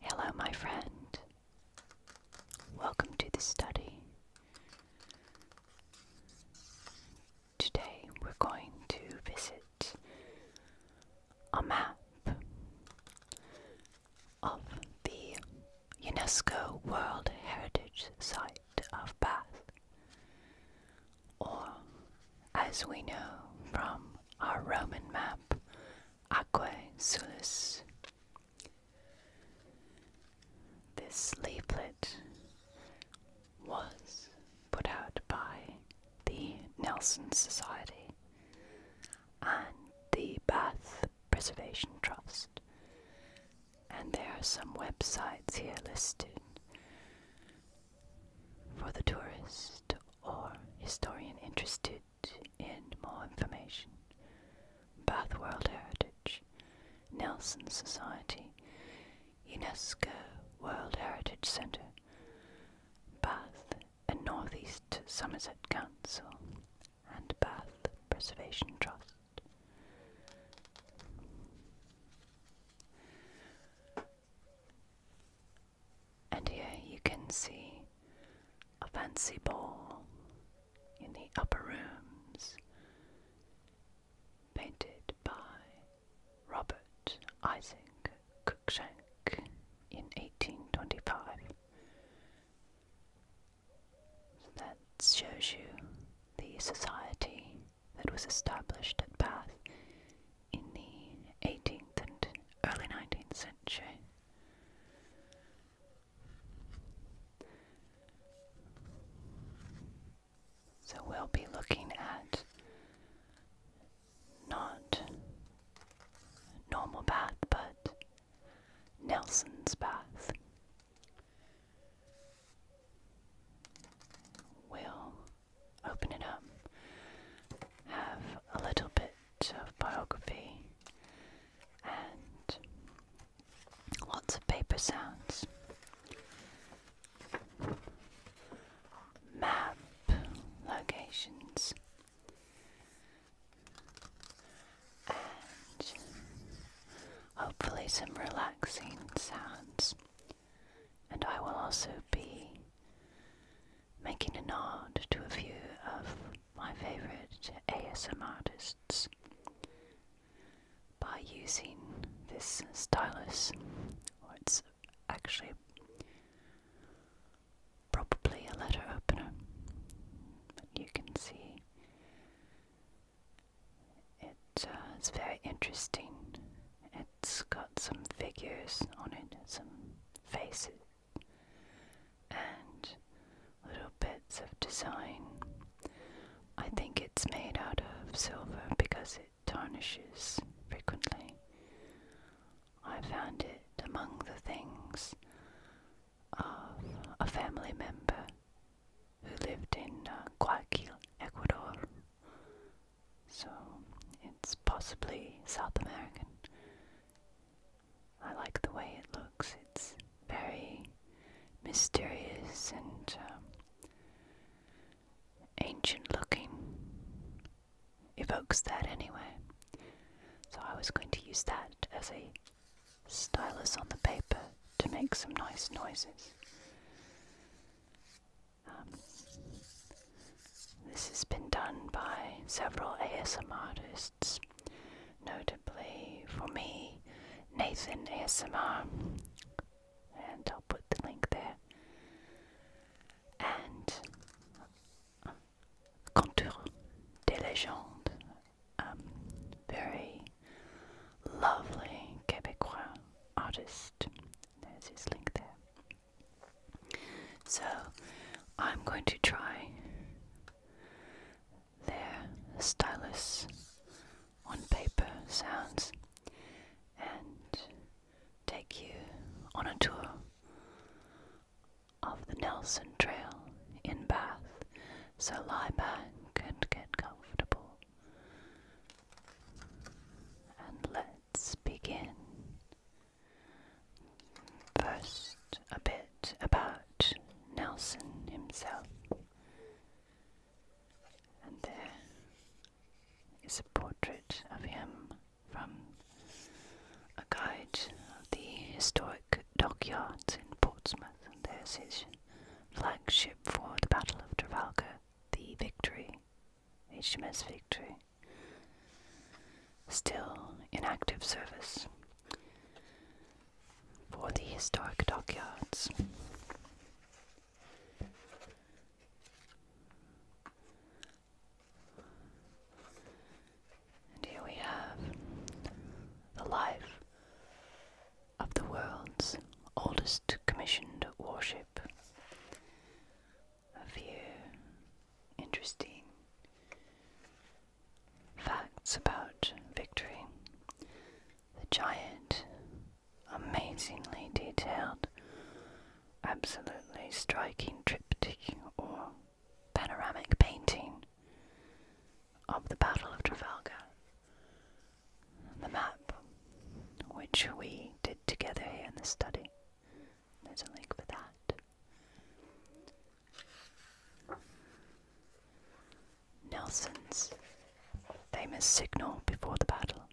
Hello, my friend. Welcome to the study. Today we're going to visit a map of the UNESCO World Heritage Site of Bath, or as we know from our Roman map, Aquae Sulis. This leaflet was put out by the Nelson Society and the Bath Preservation Trust, and there are some websites here listed for the tourists or historian interested in more information, Bath World Heritage, Nelson Society, UNESCO World Heritage Centre, Bath and Northeast Somerset Council, and Bath Preservation Trust. And here you can see a fancy ball in the upper rooms painted by Robert Isaac Cruikshank in 1825. that shows you the society that was established at Bath in the 18th and early 19th century. So we'll be looking at not normal bath, but Nelson's bath. we open it up, have a little bit of biography, and lots of paper sounds. Map locations and hopefully some relaxing sounds. And I will also be making a nod to a few of my favourite ASM artists by using this stylus, or it's actually probably a letter opener, but you can see uh, it's very interesting. It's got some figures on it, some faces and little bits of design. I think it's made out of silver because it tarnishes frequently. I found it among the things of a family member who lived in uh, Guayaquil, Ecuador, so it's possibly South American. I like the way it looks. It's very mysterious and um, ancient looking. Evokes that anyway. So I was going to use that as a stylus on the paper to make some nice noises. Um, this has been done by several ASM artists, notably for me, Nathan ASMR, and I'll put the link there, and Contour des Légendes, um, very lovely Quebecois artist. There's his link there. So I'm going to try their stylus on paper sounds and take you on a tour of the Nelson Trail in Bath. So lie back and get comfortable. And let's begin. First, a bit about Nelson himself. And there is a portrait of him from a guide of the historic dockyards in Portsmouth. And there's his flagship for the Battle of Trafalgar, the Victory, HMS Victory still in active service for the historic dockyards. And here we have the life of the world's oldest commissioned warship, a few interesting facts about Victory. The giant, amazingly detailed, absolutely striking triptych or panoramic painting of the Battle of Trafalgar. The map, which we did together here in the study, there's a link for that. Nelson's famous signal before the battle.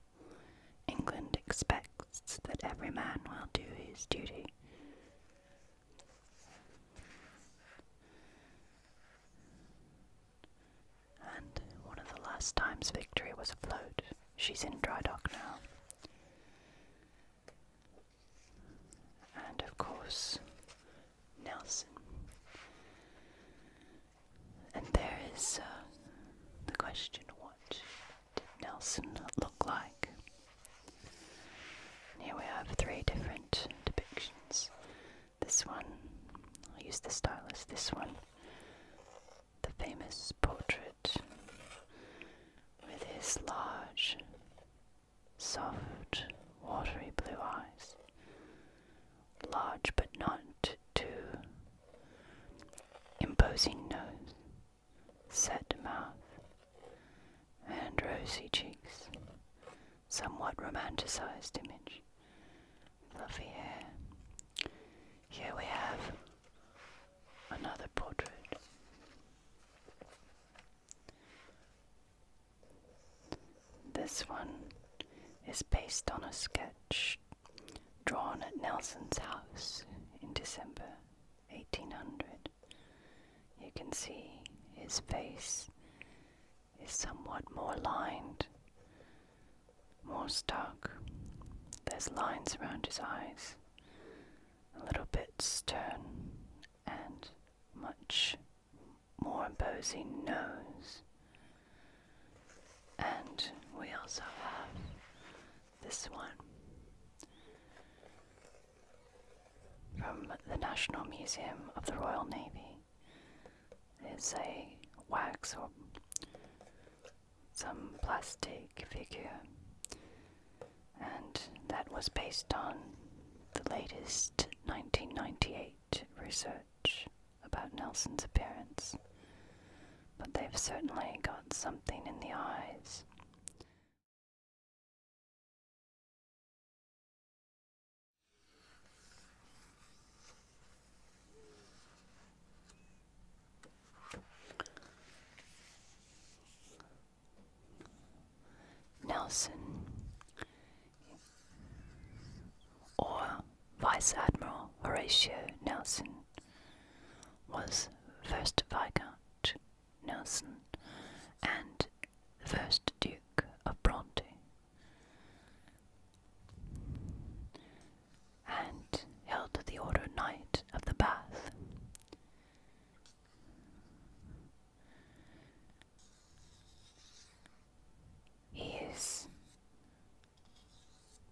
England expects that every man will do his duty. And one of the last times Victory was afloat. She's in dry dock now and of course Nelson. And there is uh, the question what did Nelson look like? here we have three different depictions. This one, I'll use the stylus, this one, the famous portrait with his large, soft, watery blue eyes, large but not too imposing nose, set mouth, and rosy cheeks, somewhat romanticized image, fluffy hair. Here we have another portrait. This one is based on a sketch drawn at Nelson's house in December 1800. You can see his face is somewhat more lined, more stark. There's lines around his eyes, a little bit stern and much more imposing nose. And we also have this one from the National Museum of the Royal Navy. It is a wax or some plastic figure and that was based on the latest 1998 research about Nelson's appearance. But they've certainly got something in the eyes. Nelson, or Vice Admiral Horatio Nelson, was first Viscount Nelson and first Duke of Bronte. And held the Order Knight of the Bath. He is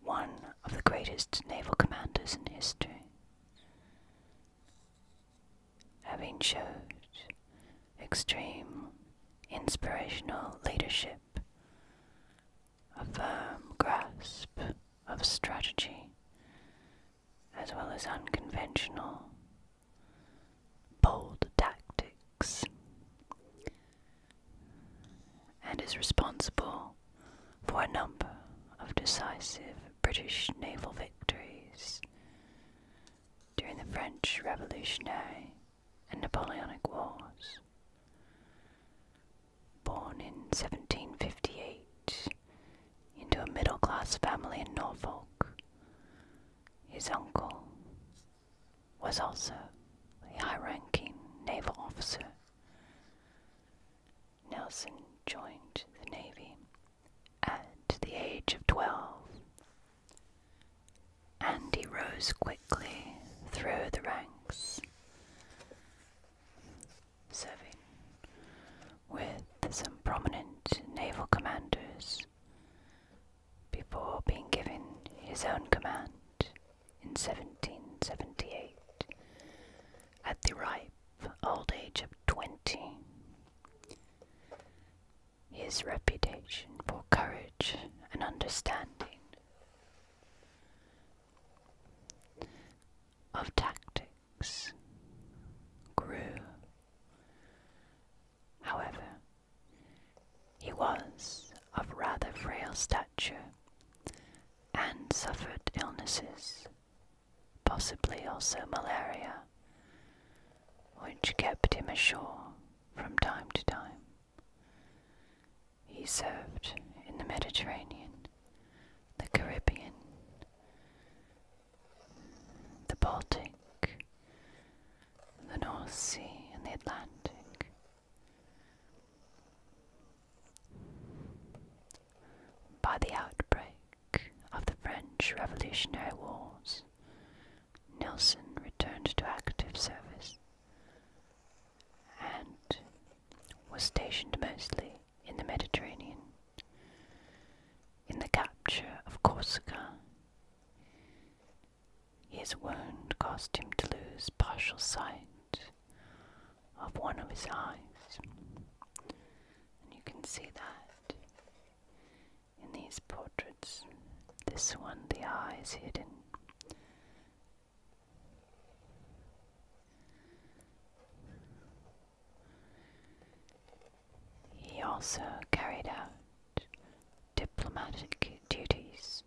one of the greatest naval commanders in history, having showed extreme inspirational leadership, a firm grasp of strategy, as well as unconventional, bold tactics, and is responsible for a number of decisive British naval victories during the French Revolutionary and Napoleonic Wars. Born in 1758 into a middle class family in Norfolk. His uncle was also a high ranking naval officer. Nelson joined the Navy at the age of 12, and he rose quickly through the ranks serving with some prominent naval commanders before being given his own command in 1778 at the ripe old age of 20. His reputation for courage and understanding of tactics grew. However, he was of rather frail stature and suffered illnesses, possibly also malaria, which kept him ashore from time to time. He served in the Mediterranean the Caribbean, the Baltic, the North Sea, and the Atlantic. By the outbreak of the French Revolutionary Wars, Nelson returned to active service and was stationed mostly in the Mediterranean, in the capture of Corsica. His wound caused him to lose partial sight of one of his eyes. And you can see that in these portraits. This one, the eye is hidden. He also carried out diplomatic duties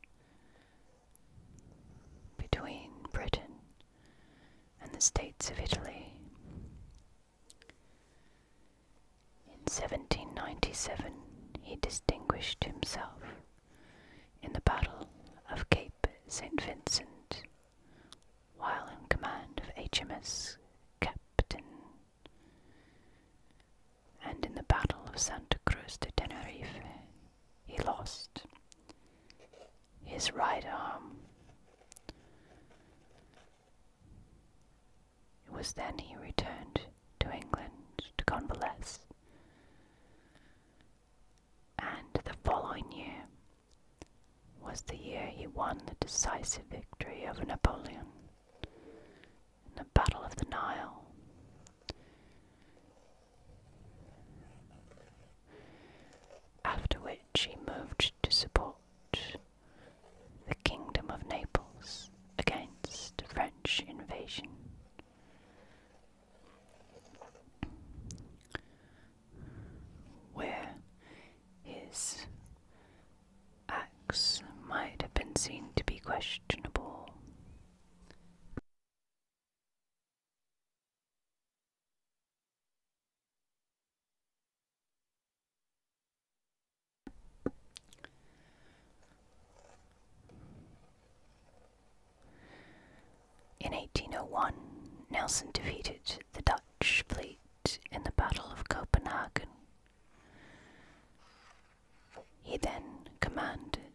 between Britain and the states of Italy. In 1797, he distinguished himself in the Battle of Cape St. Vincent while in command of HMS Captain, and in the Battle of Santa Cruz de Tenerife, he lost his right arm. It was then he returned to England to convalesce, and the following year was the year he won the decisive victory over Napoleon in the Battle of the Nile. After which he moved to support the Kingdom of Naples against French invasion where his acts might have been seen to be questionable. In 1801, Nelson defeated the Dutch fleet in the Battle of Copenhagen. He then commanded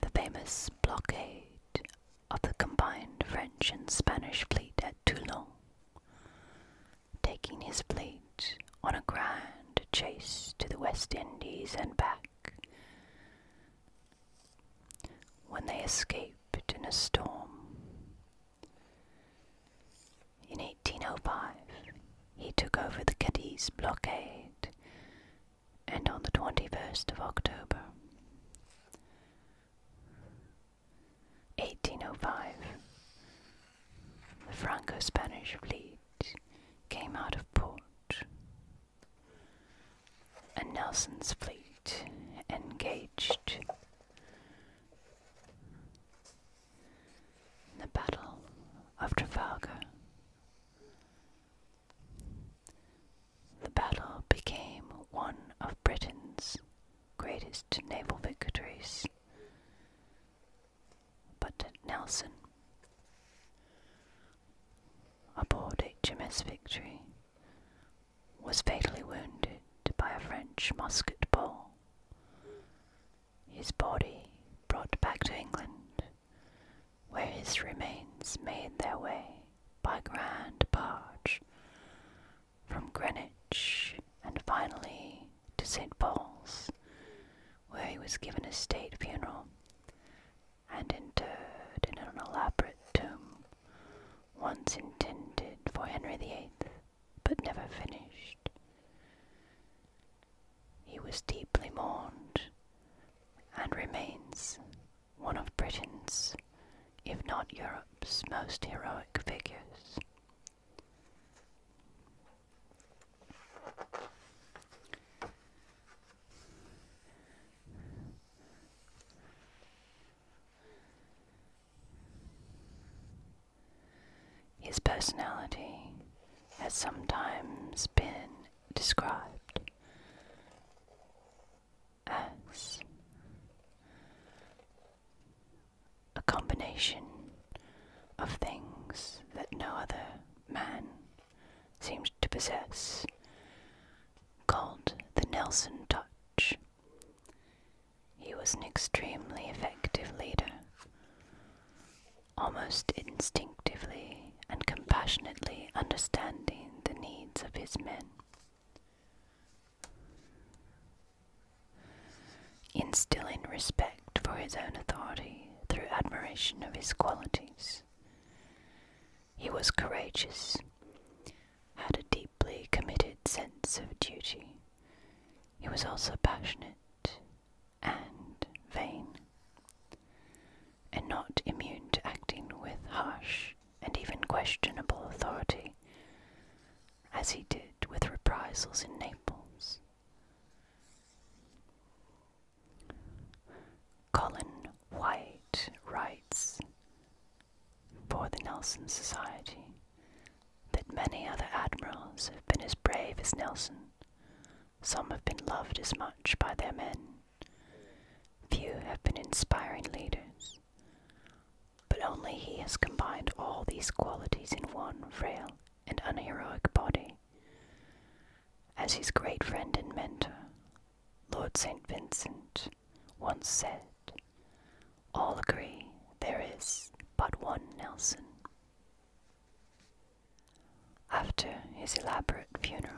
the famous blockade of the combined French and Spanish fleet at Toulon, taking his fleet on a grand chase to the West Indies and back. When they escaped in a storm, in 1805, he took over the Cadiz blockade, and on the 21st of October, 1805, the Franco Spanish fleet came out of port, and Nelson's fleet engaged the Battle of Trafalgar. The battle became one of Britain's greatest naval victories. But Nelson, aboard HMS Victory, was fatally wounded by a French musket ball. His body brought back to England, where his remains made their way by grand barge from Greenwich and finally to St. Paul's, where he was given a state funeral and interred in an elaborate tomb once intended for Henry VIII, but never finished. He was deeply mourned and remains one of Britain's, if not Europe's, most heroic figures. His personality has sometimes been described as a combination of things that no other man seems to possess, called the Nelson touch. He was an extremely effective leader. Almost instinctively and compassionately understanding the needs of his men. Instilling respect for his own authority through admiration of his qualities. He was courageous, had a deeply committed sense of duty. He was also passionate and vain, and not immune to acting with harsh and even questionable authority, as he did with reprisals in Naples. Colin White writes for the Nelson Society, that many other admirals have been as brave as Nelson. Some have been loved as much by their men. Few have been inspiring leaders. But only he has combined all these qualities in one frail and unheroic body. As his great friend and mentor, Lord St. Vincent once said, All agree there is but one Nelson. After his elaborate funeral,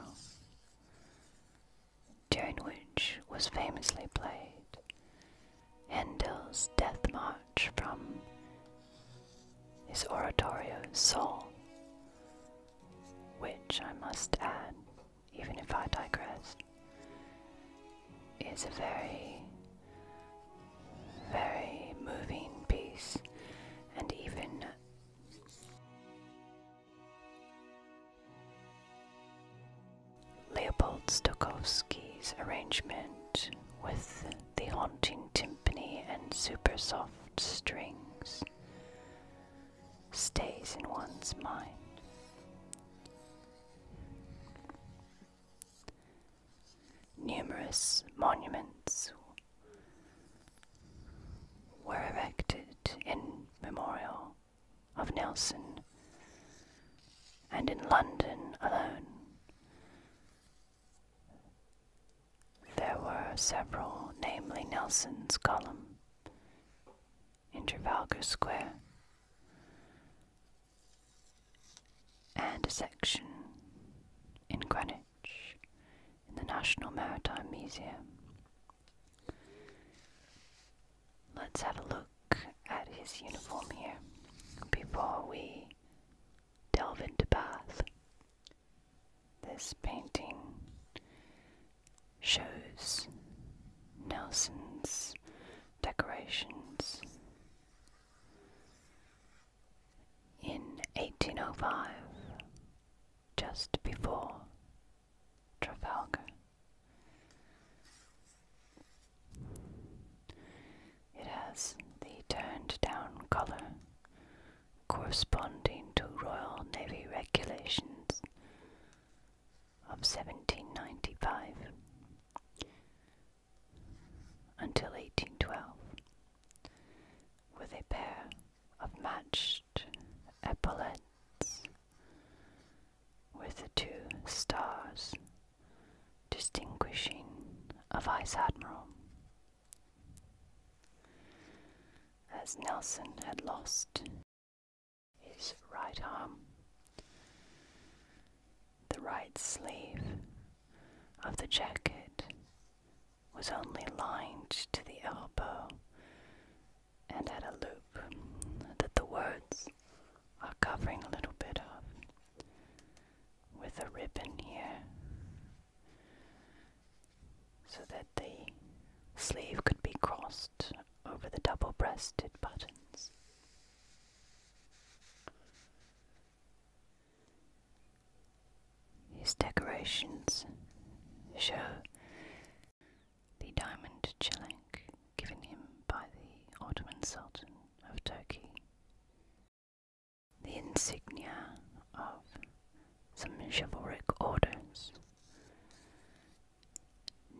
during which was famously played Handel's Death March from his oratorio Soul, which I must add even if I digress, is a very, very moving piece, and even Leopold Stokowski's arrangement with the haunting timpani and super soft strings stays in one's mind. Numerous monuments were erected in memorial of Nelson, and in London alone there were several, namely Nelson's Column, in Trafalgar Square, and a section in Greenwich in the National Maritime Museum. Let's have a look at his uniform here before we delve into Bath. This painting shows Nelson's decorations. In 1805, just before Trafalgar, it has the turned down colour corresponding to Royal Navy regulations of 1795 until 1812 with a pair of matched epaulets with the two stars distinguishing a vice admiral. As Nelson had lost his right arm, the right sleeve of the jacket was only lined to the elbow and had a loop that the words are covering a little bit of with a ribbon here so that the sleeve could be crossed over the double breasted buttons. His decorations show the diamond chelenk given him by the Ottoman Sultan of Turkey, the insignia of some chivalric orders,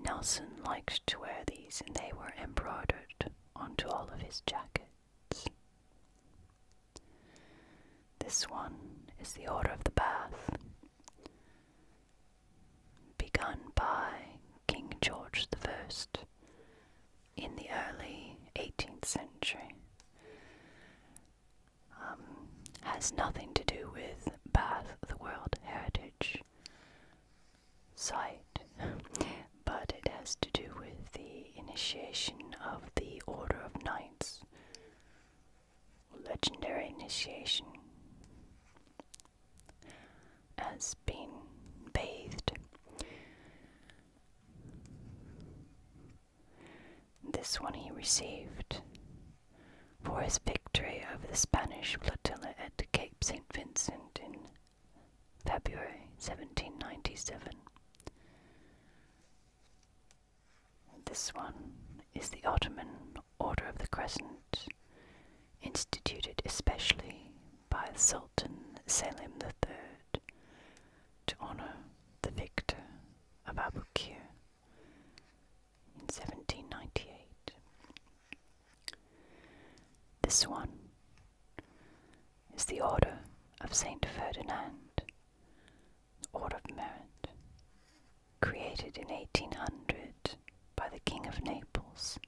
Nelson liked to wear these and they were embroidered onto all of his jackets. This one is the Order of the Bath, begun by King George the First in the early 18th century. Um, has nothing to do with Bath, the World Heritage Sight, but it has to do with the initiation of the Order of Knights. Legendary initiation has been bathed. This one he received for his victory over the Spanish flotilla at Cape St. Vincent in February 1797. This one is the Ottoman Order of the Crescent, instituted especially by Sultan Selim III to honor the victor of Abukir in 1798. This one is the Order of Saint Ferdinand, Order of Merit, created in 1800 by the King of Naples,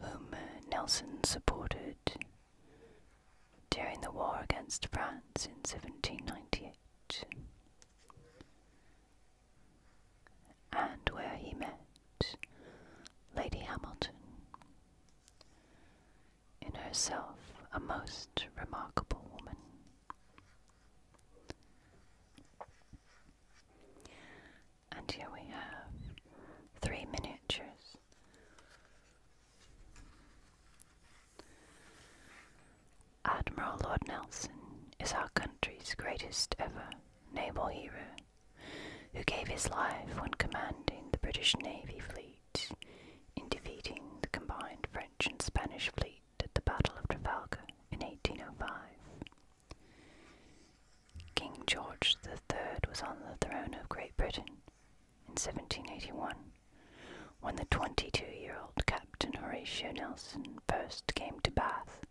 whom uh, Nelson supported during the war against France in 1798 and where he met Lady Hamilton, in herself a most remarkable woman. And here we have three miniatures. Admiral Lord Nelson is our country's greatest ever naval hero who gave his life when commanding the British Navy fleet in defeating the combined French and Spanish fleet at the Battle of Trafalgar in 1805. King George the Third was on the throne of Great Britain in 1781 when the 22 year old Captain Horatio Nelson first came to Bath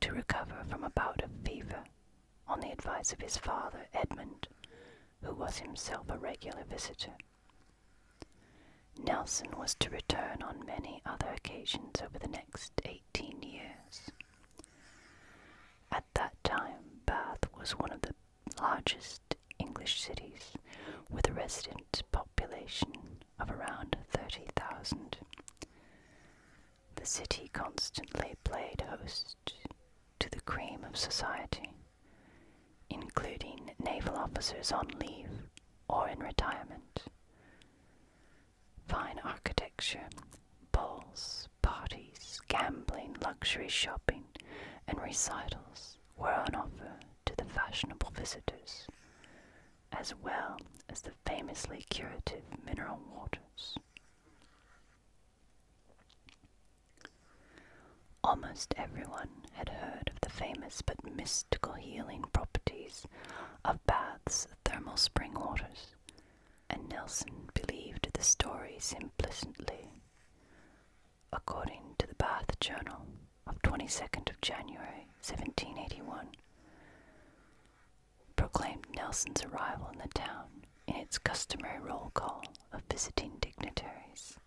to recover from a bout of fever on the advice of his father, Edmund, who was himself a regular visitor. Nelson was to return on many other occasions over the next eighteen years. At that time, Bath was one of the largest English cities, with a resident population of around 30,000. The city constantly played host to the cream of society, including naval officers on leave or in retirement. Fine architecture, balls, parties, gambling, luxury shopping, and recitals were on offer to the fashionable visitors as well as the famously curative mineral waters. Almost everyone had heard of the famous but mystical healing properties of Bath's thermal spring waters, and Nelson believed the stories implicitly. According to the Bath Journal of 22nd of January 1781, proclaimed Nelson's arrival in the town in its customary roll call of visiting dignitaries.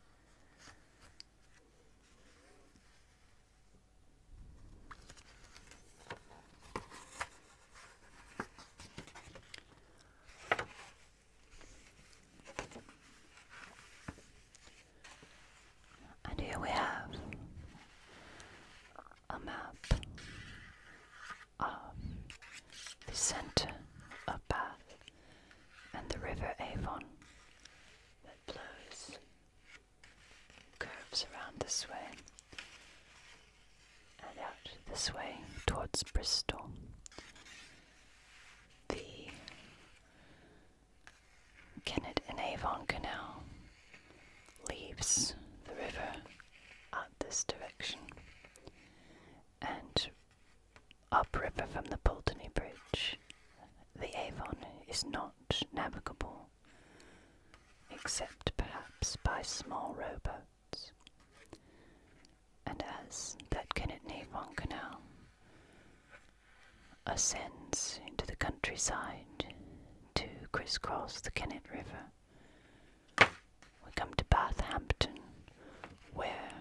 And here we have a map of the center of Bath and the river Avon that flows, curves around this way and out this way towards Bristol. The Kennet and Avon Canal leaves the river at this direction and upriver from the Pulteney Bridge. The Avon is not navigable except perhaps by small rowboats. And as that Kinnetnavon Canal ascends into the countryside to crisscross the Kennet River, we come to Bathampton, where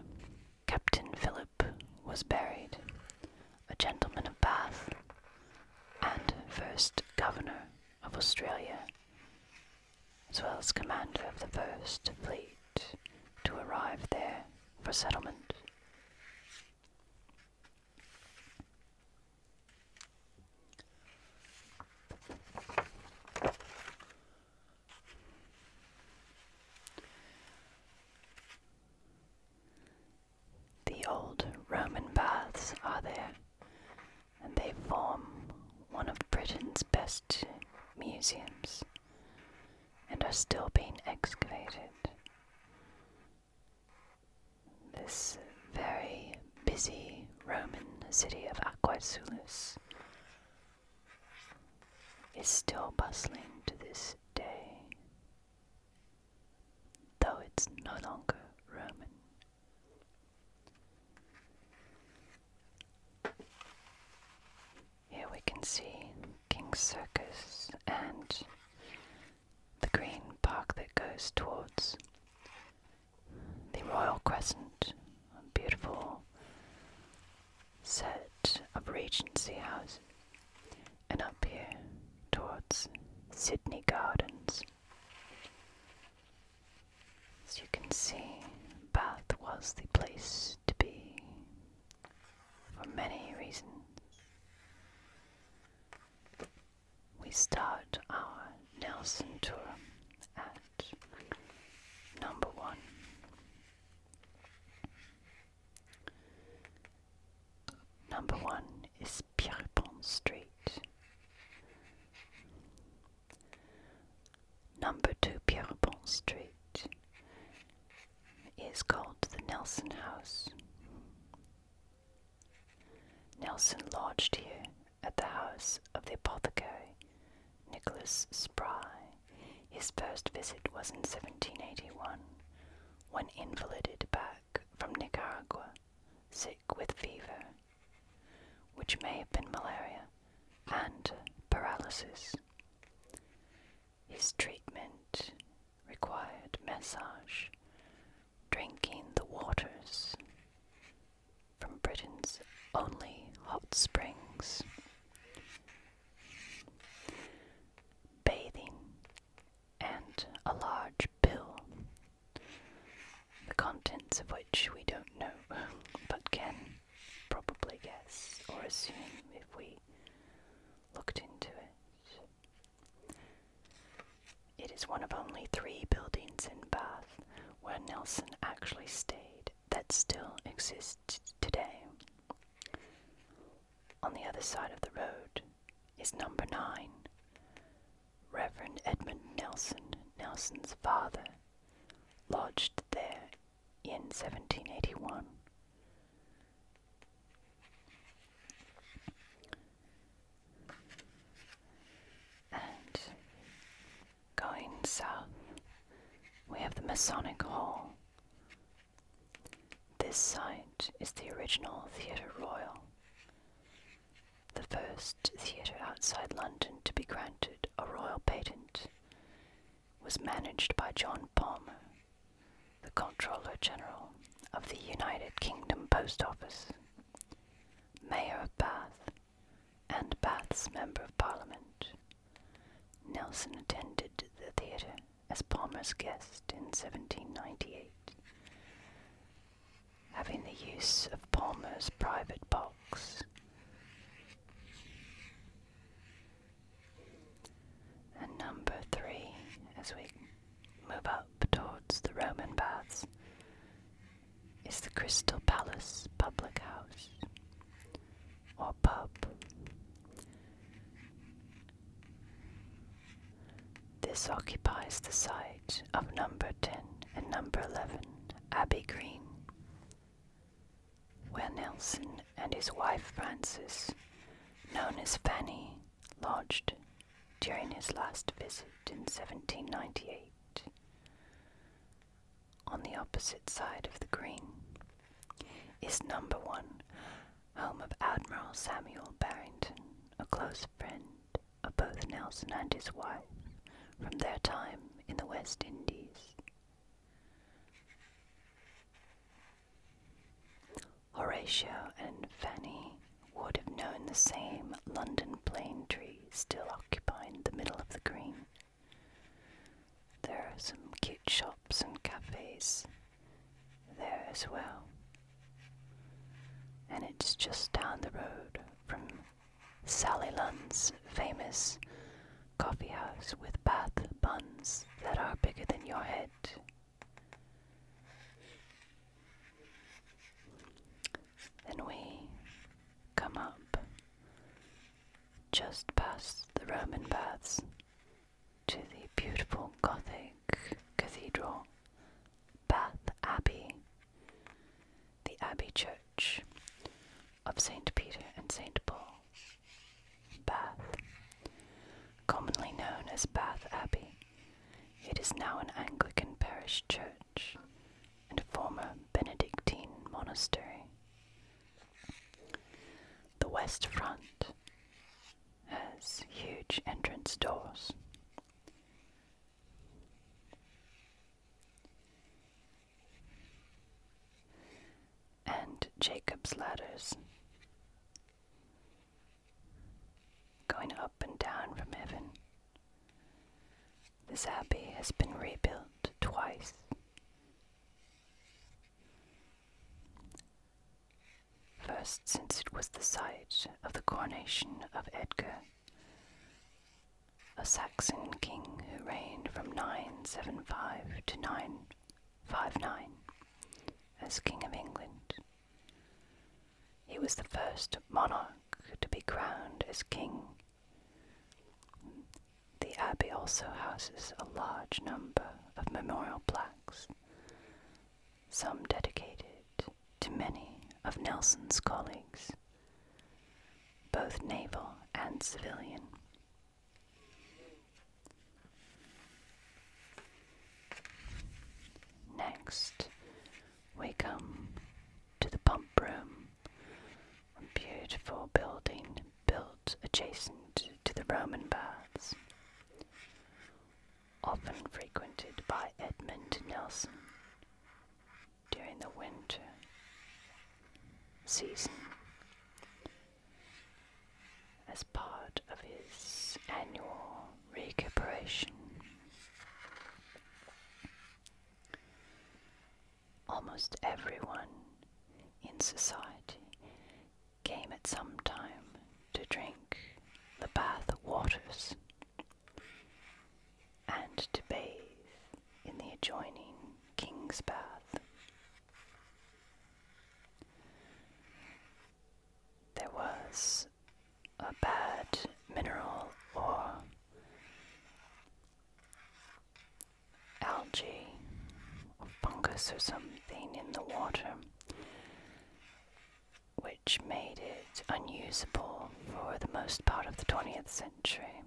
Captain Philip was buried, a gentleman of Bath and first governor of Australia, as well as commander of the first fleet to arrive there for settlement. The old Roman baths are there, and they form one of Britain's best museums and are still being excavated this very busy Roman city of Aquae Sulis is still bustling to this day, though it's no longer Roman. Here we can see King's Circus and the green park that goes towards the Royal Crescent, a beautiful set of Regency houses, and up here towards Sydney Gardens. As you can see, Bath was the place to be for many reasons we start our Nelson tour at number one. Number one is Pierrepont Street. Number two Pierrepont Street is called the Nelson House. Nelson lodged here at the house of the apothecary Nicholas Spry. His first visit was in 1781, when invalided back from Nicaragua, sick with fever, which may have been malaria and paralysis. His treatment required massage, drinking the waters, from Britain's only hot springs. Bathing and a large bill, the contents of which we don't know but can probably guess or assume if we looked into it. It is one of only three buildings in Bath where Nelson actually stayed that still exists today. On the other side of the road is number nine, Reverend Edmund Nelson, Nelson's father, lodged there in 1781. And going south, we have the Masonic Hall. This site is the original Theatre Royal, the first theatre outside London to be granted a royal patent. Was managed by John Palmer, the Controller General of the United Kingdom Post Office. Mayor of Bath, and Bath's Member of Parliament. Nelson attended the theatre as Palmer's guest in 1798. Having the use of Palmer's private box. And number three, as we move up towards the Roman baths, is the Crystal Palace Public House or pub. This occupies the site of number 10 and number 11 Abbey Green, where Nelson and his wife Frances, known as Fanny, lodged during his last visit in 1798 on the opposite side of the green is number one, home of Admiral Samuel Barrington, a close friend of both Nelson and his wife from their time in the West Indies. Horatio and Fanny would have known the same London plane tree still occupying the middle of the green. There are some cute shops and cafes there as well. And it's just down the road from Sally Lunn's famous coffee house with bath buns that are bigger than your head. Then we come up just past the Roman baths to the beautiful Gothic cathedral, Bath Abbey, the Abbey Church of St. Peter and St. Paul, Bath. Commonly known as Bath Abbey, it is now an Anglican parish church and former Benedictine monastery. The west front has huge entrance doors. And Jacob's ladders going up and down from heaven. This abbey has been rebuilt twice. First, since it was the site of the coronation of Edgar, a Saxon king who reigned from 975 to 959 as King of England. He was the first monarch to be crowned as king. The abbey also houses a large number of memorial plaques, some dedicated to many of Nelson's colleagues, both naval and civilian. Next, we come to the pump room, a beautiful building built adjacent to the Roman baths, often frequented by Edmund Nelson during the winter season as part of his annual recuperation. Almost everyone in society came at some time to drink the bath waters and to bathe in the adjoining king's bath. There was a bad mineral or algae or fungus or something in the water, which made it unusable for the most part of the 20th century.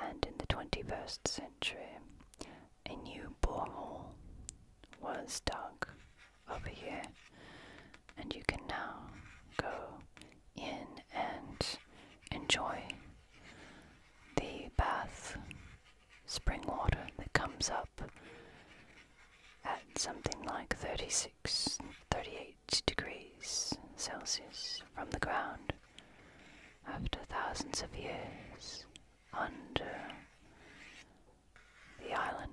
And in the 21st century, a new borehole was dug over here and you can now go in and enjoy the bath spring water that comes up at something like 36 38 degrees Celsius from the ground after thousands of years under the island.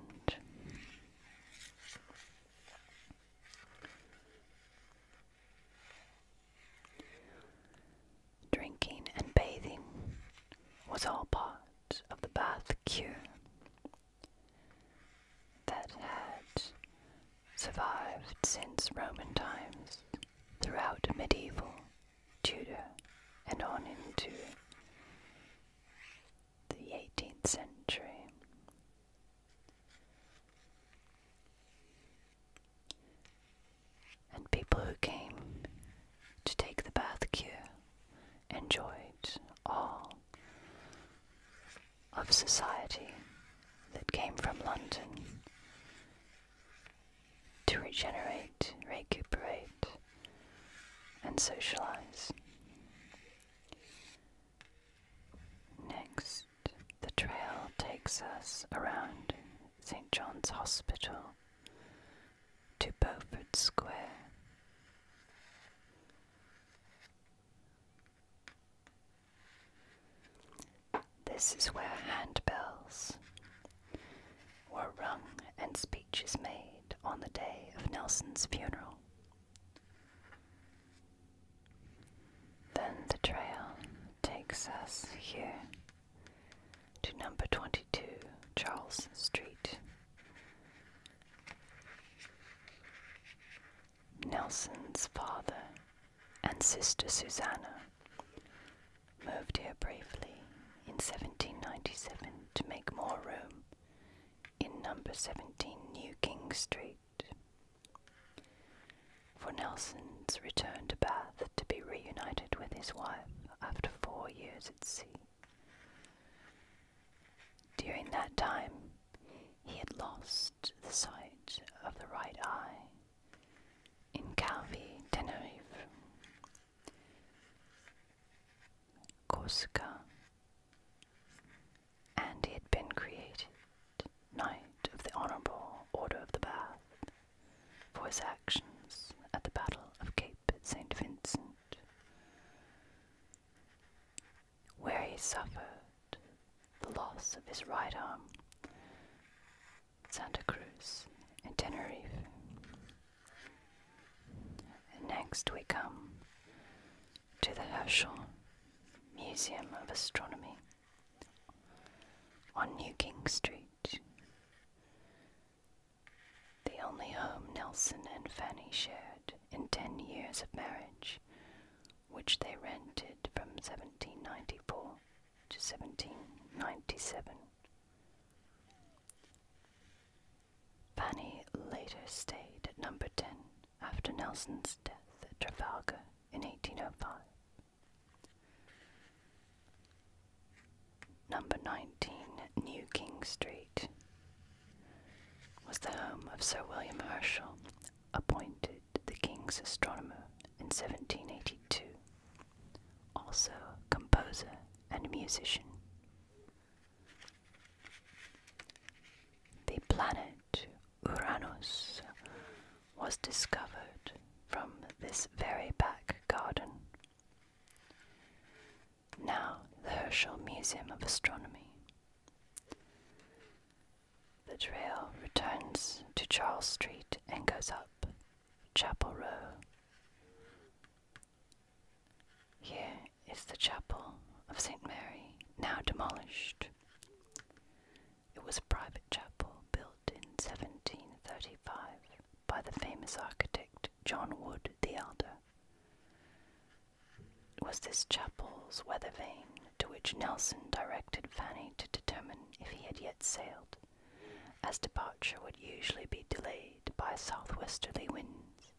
Drinking and bathing was all part of the bath cure that had survived since Roman times throughout medieval Tudor and on into the 18th century. And people who came to take the bath cure enjoyed all of society that came from London to regenerate, recuperate, and socialize. Next, the trail takes us around St. John's Hospital to Beaufort Square. This is where handbells were rung and speeches made on the day of Nelson's funeral. Then the trail takes us here to number 22 Charles Street. Nelson's father and sister Susanna moved here briefly in 1797 to make more room in number 17 New King Street. For Nelson's return to Bath to be reunited with his wife after four years at sea. During that time, he had lost the sight of the right eye in Calvi, Tenerife, Corsica, and he had been created Knight of the Honourable Order of the Bath for his actions at the Battle of Cape St. Vincent, where he suffered the loss of his right arm, Santa Cruz, and Tenerife. And next we come to the Herschel Museum of Astronomy on New King Street, the only home Nelson and Fanny shared in ten years of marriage, which they rented from 1794 to 1797. Fanny later stayed at number 10 after Nelson's death at Trafalgar in 1805. Number 19, New King Street, was the home of Sir William Herschel, appointed the King's astronomer in 1782, also composer and musician. The planet Uranus was discovered from this very back garden. Now, the Herschel Museum of Astronomy. The trail returns to Charles Street and goes up Chapel Row. Here is the chapel of St. Mary, now demolished. It was a private chapel built in 1735 by the famous architect John Wood the Elder. was this chapel's weather vane to which Nelson directed Fanny to determine if he had yet sailed, as departure would usually be delayed by southwesterly winds.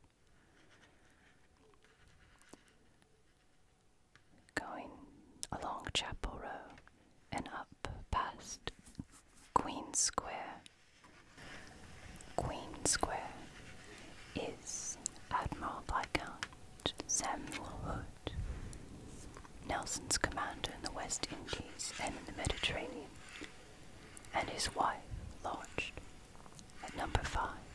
Going along Chapel Row and up past Queen Square. Queen Square is Admiral Viscount Samuel Hood, Nelson's commander in the West Indies and in the Mediterranean, and his wife lodged at number five,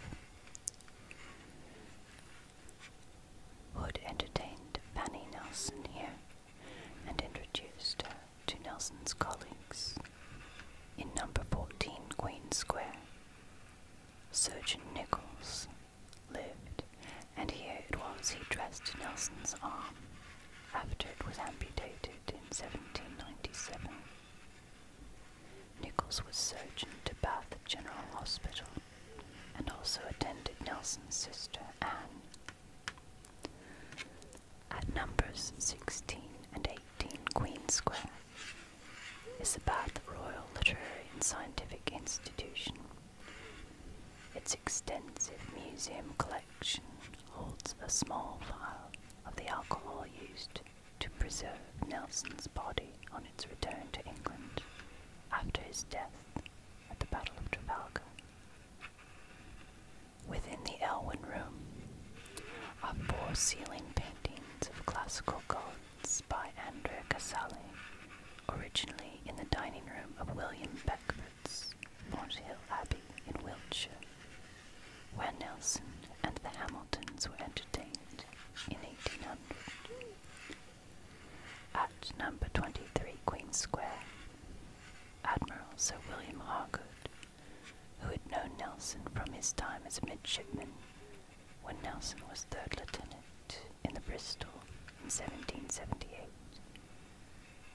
Hood entertained Fanny Nelson here and introduced her to Nelson's colleagues. In number 14, Queen Square, Surgeon Nichols lived, and here it was he dressed Nelson's arm after it was amputated in 1797. Nichols was surgeon to Bath General Hospital and also attended Nelson's sister Anne. At numbers 16 and 18 Queen Square is the Royal Literary and Scientific Institution. Its extensive museum collection holds a small vial of the alcohol used to preserve Nelson's body on its return to England after his death at the Battle of Trafalgar. Within the Elwyn Room are four ceiling paintings of classical gods by Andrea Casale, originally in the dining room of William Beckford's Mount Hill Abbey in Wiltshire. When Nelson and the Hamiltons were entertained in 1800. At number 23 Queen Square, Admiral Sir William Harcourt, who had known Nelson from his time as a midshipman when Nelson was third lieutenant in the Bristol in 1778,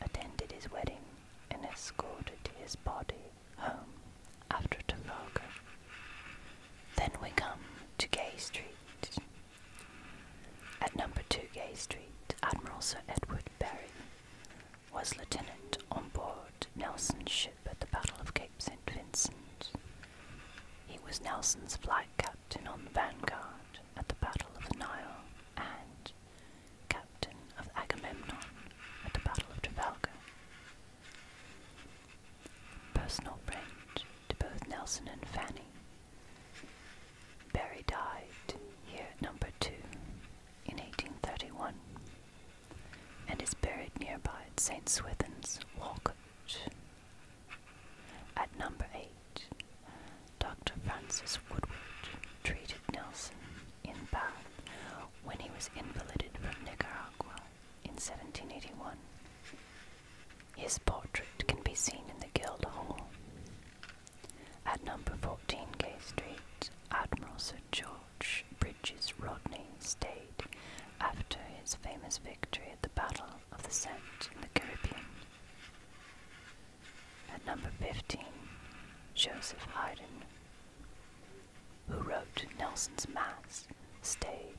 attended his wedding and escorted his body home after Trafalgar. Then we come to Gay Street. At number 2 Gay Street, Admiral Sir Edward Berry was lieutenant on board Nelson's ship at the Battle of Cape St. Vincent. He was Nelson's flag captain on the Vanguard at the Battle of the Nile and captain of Agamemnon at the Battle of Trafalgar. Personal friend to both Nelson and Fanny. Barry died here at number 2 in 1831 and is buried nearby at St. Swithin's, Walcote. At number 8, Dr. Francis Woodward treated Nelson in Bath when he was invalided from Nicaragua in 1781. His portrait can be seen in the Guildhall. At number 14 Gay Street, Admiral Sir George Bridges Rodney stayed after his famous victory at the Battle of the Scent in the Caribbean. At number 15, Joseph Haydn who wrote Nelson's Mass, stayed,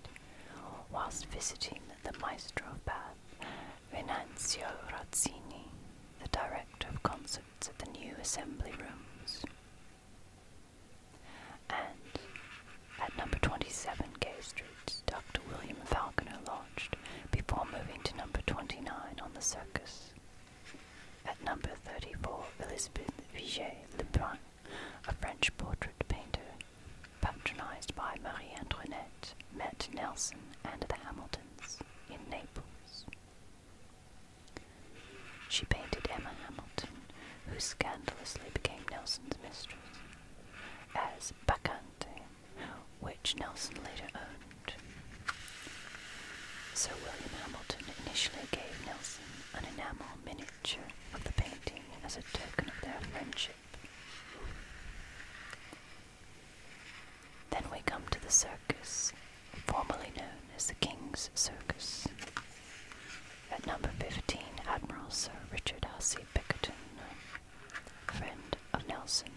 whilst visiting the maestro of Bath, Venanzio Razzini, the director of concerts at the new assembly rooms. And at number 27 Gay Street, Dr. William Falconer lodged before moving to number 29 on the circus. At number 34, Elizabeth Vige Lebrun a French portrait painter, patronized by Marie Antoinette, met Nelson and the Hamiltons in Naples. She painted Emma Hamilton, who scandalously became Nelson's mistress, as Bacchante, which Nelson later owned. Sir William Hamilton initially gave Nelson an enamel miniature of the painting as a token of their friendship. Then we come to the circus, formerly known as the King's Circus. At number 15, Admiral Sir Richard Hussey Bickerton, friend of Nelson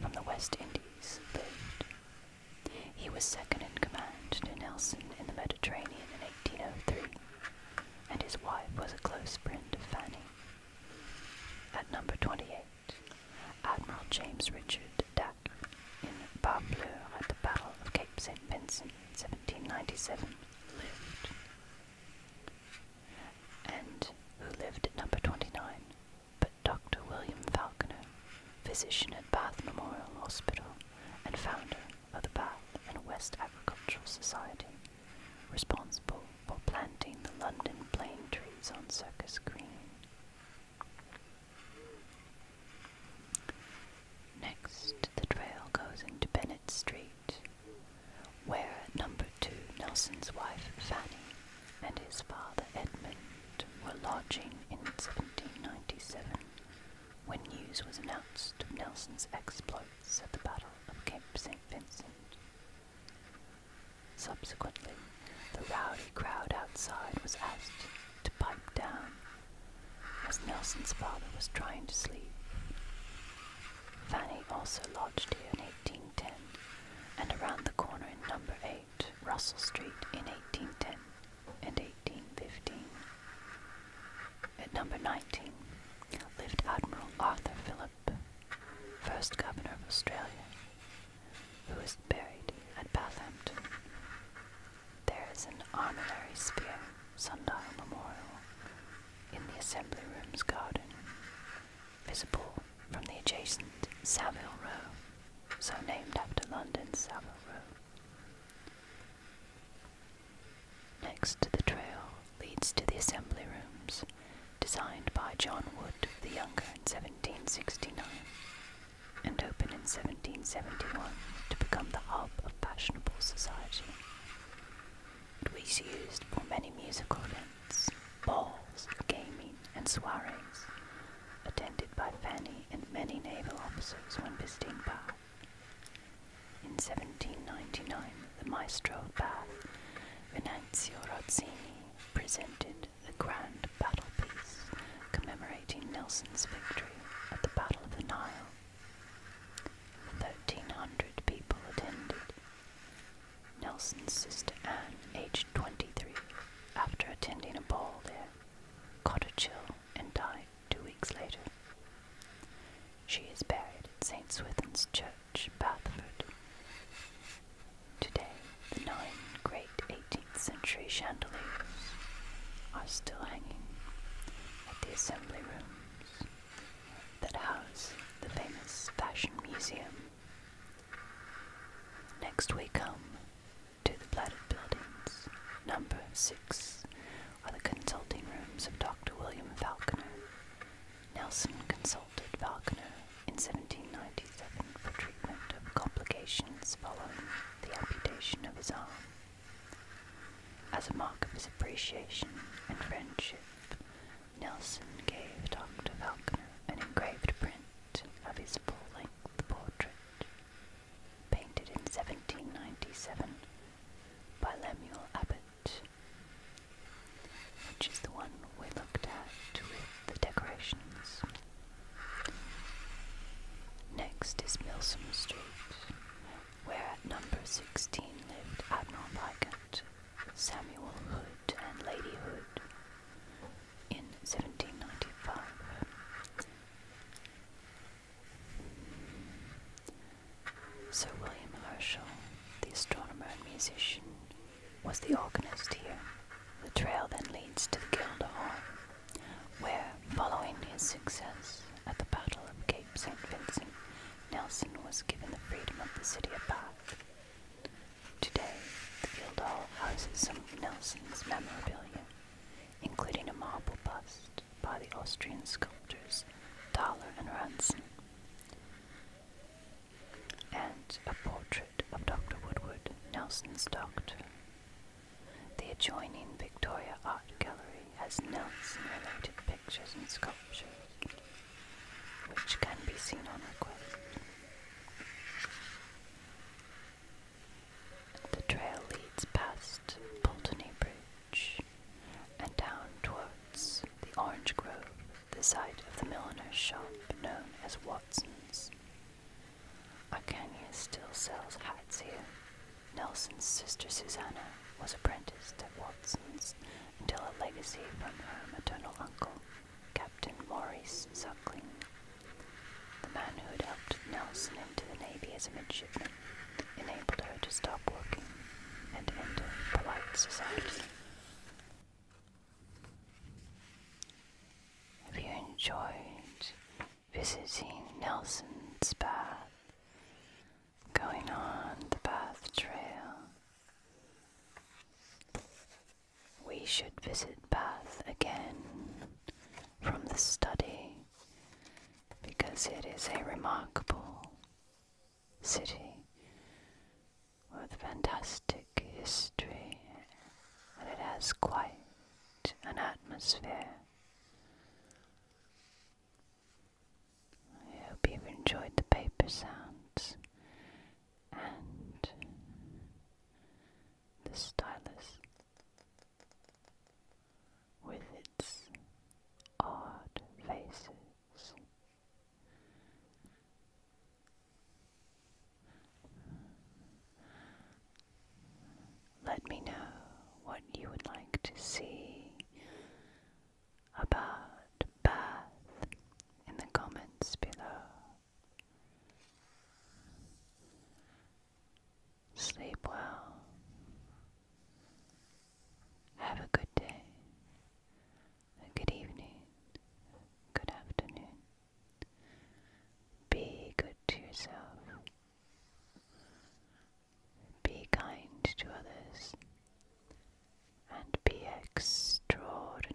from the West Indies, lived. He was second in command to Nelson in the Mediterranean in 1803 and his wife was a close friend of Fanny. At number 28, Admiral James Richard Dack in Bas Bleu at the Battle of Cape St. Vincent in 1797 lived. And who lived at number 29 but Dr. William Falconer, physician at Bath Memorial Hospital and founder of the Bath and West Agricultural Society, responsible for planting the London plane trees on Circus Green. Next, the trail goes into Bennett Street, where at number two Nelson's wife Fanny and his father Edmund were lodging in 1797. When news was announced of Nelson's exploits at the Battle of Cape St. Vincent. Subsequently, the rowdy crowd outside was asked to pipe down as Nelson's father was trying to sleep. Fanny also lodged here in 1810 and around the corner in number 8, Russell Street in 1810 and 1815. At number 19 lived Admiral Arthur Phillip, first governor of Australia, who is buried at Bathampton. There is an armillary spear sundial memorial in the Assembly Rooms garden, visible from the adjacent Savile Row, so named after London's Savile Row. Next to the trail leads to the assembly rooms, designed by John Wood the Younger in 1769, and opened in 1771 to become the hub of fashionable society. It was used for many musical events, balls, gaming, and soirees, attended by Fanny and many naval officers when visiting Bath. In 1799, the maestro of Bath, Venanzio Rozzini, presented the grand battle piece commemorating Nelson's victory at the Battle of the Nile. 1,300 people attended. Nelson's sister Anne, aged 23, after attending a ball there, caught a chill and died two weeks later. She is buried at St. Swithin's Church, Bathford. Today, the nine great 18th century chandeliers are still hanging at the assembly rooms that house the famous Fashion Museum. Next we come to the Platted Buildings, number 6, are the consulting rooms of Dr. William Falconer. Nelson consulted Falconer in 1797 for treatment of complications following the amputation of his arm. As a mark of his appreciation and friendship, Nelson gave Dr. Falconer an engraved print of his full-length portrait painted in 1797 by Lemuel Abbott, which is the one we looked at with the decorations. Next is Milsom Street, where at number 16 lived Admiral Viscount Samuel Hood and Lady Hood in 1795. Sir William Herschel, the astronomer and musician, was the organist here. The trail then leads to the Guildhall, where, following his success at the Battle of Cape St. Vincent, Nelson was given the freedom of the city of Bath. Today, the Guildhall houses some of Nelson's memorabilia, including a marble bust by the Austrian sculptors Thaler and Ranson, and a portrait of Dr. Woodward, Nelson's doctor. The adjoining Victoria Art Gallery has Nelson related pictures and sculptures, which can be seen on request. The trail leads past Boltony Bridge and down towards the orange grove, the site of the milliner's shop known as Watson's. Arcania still sells hats here. Nelson's sister Susanna was apprenticed at Watson's until a legacy from her maternal uncle, Captain Maurice Suckling, the man who had helped Nelson into the Navy as a midshipman, enabled her to stop working and enter polite society. Have you enjoyed visiting Nelson's Bath? Going on the Bath Trail? We should visit Bath again from the study because it is a remarkable city with fantastic history and it has quite an atmosphere. I hope you've enjoyed the paper sounds and the stylus with its odd faces. Let me know what you would like to see about Bath in the comments below. Sleep well. Have a good day, a good evening, good afternoon. Be good to yourself. Be kind to others. And be extraordinary.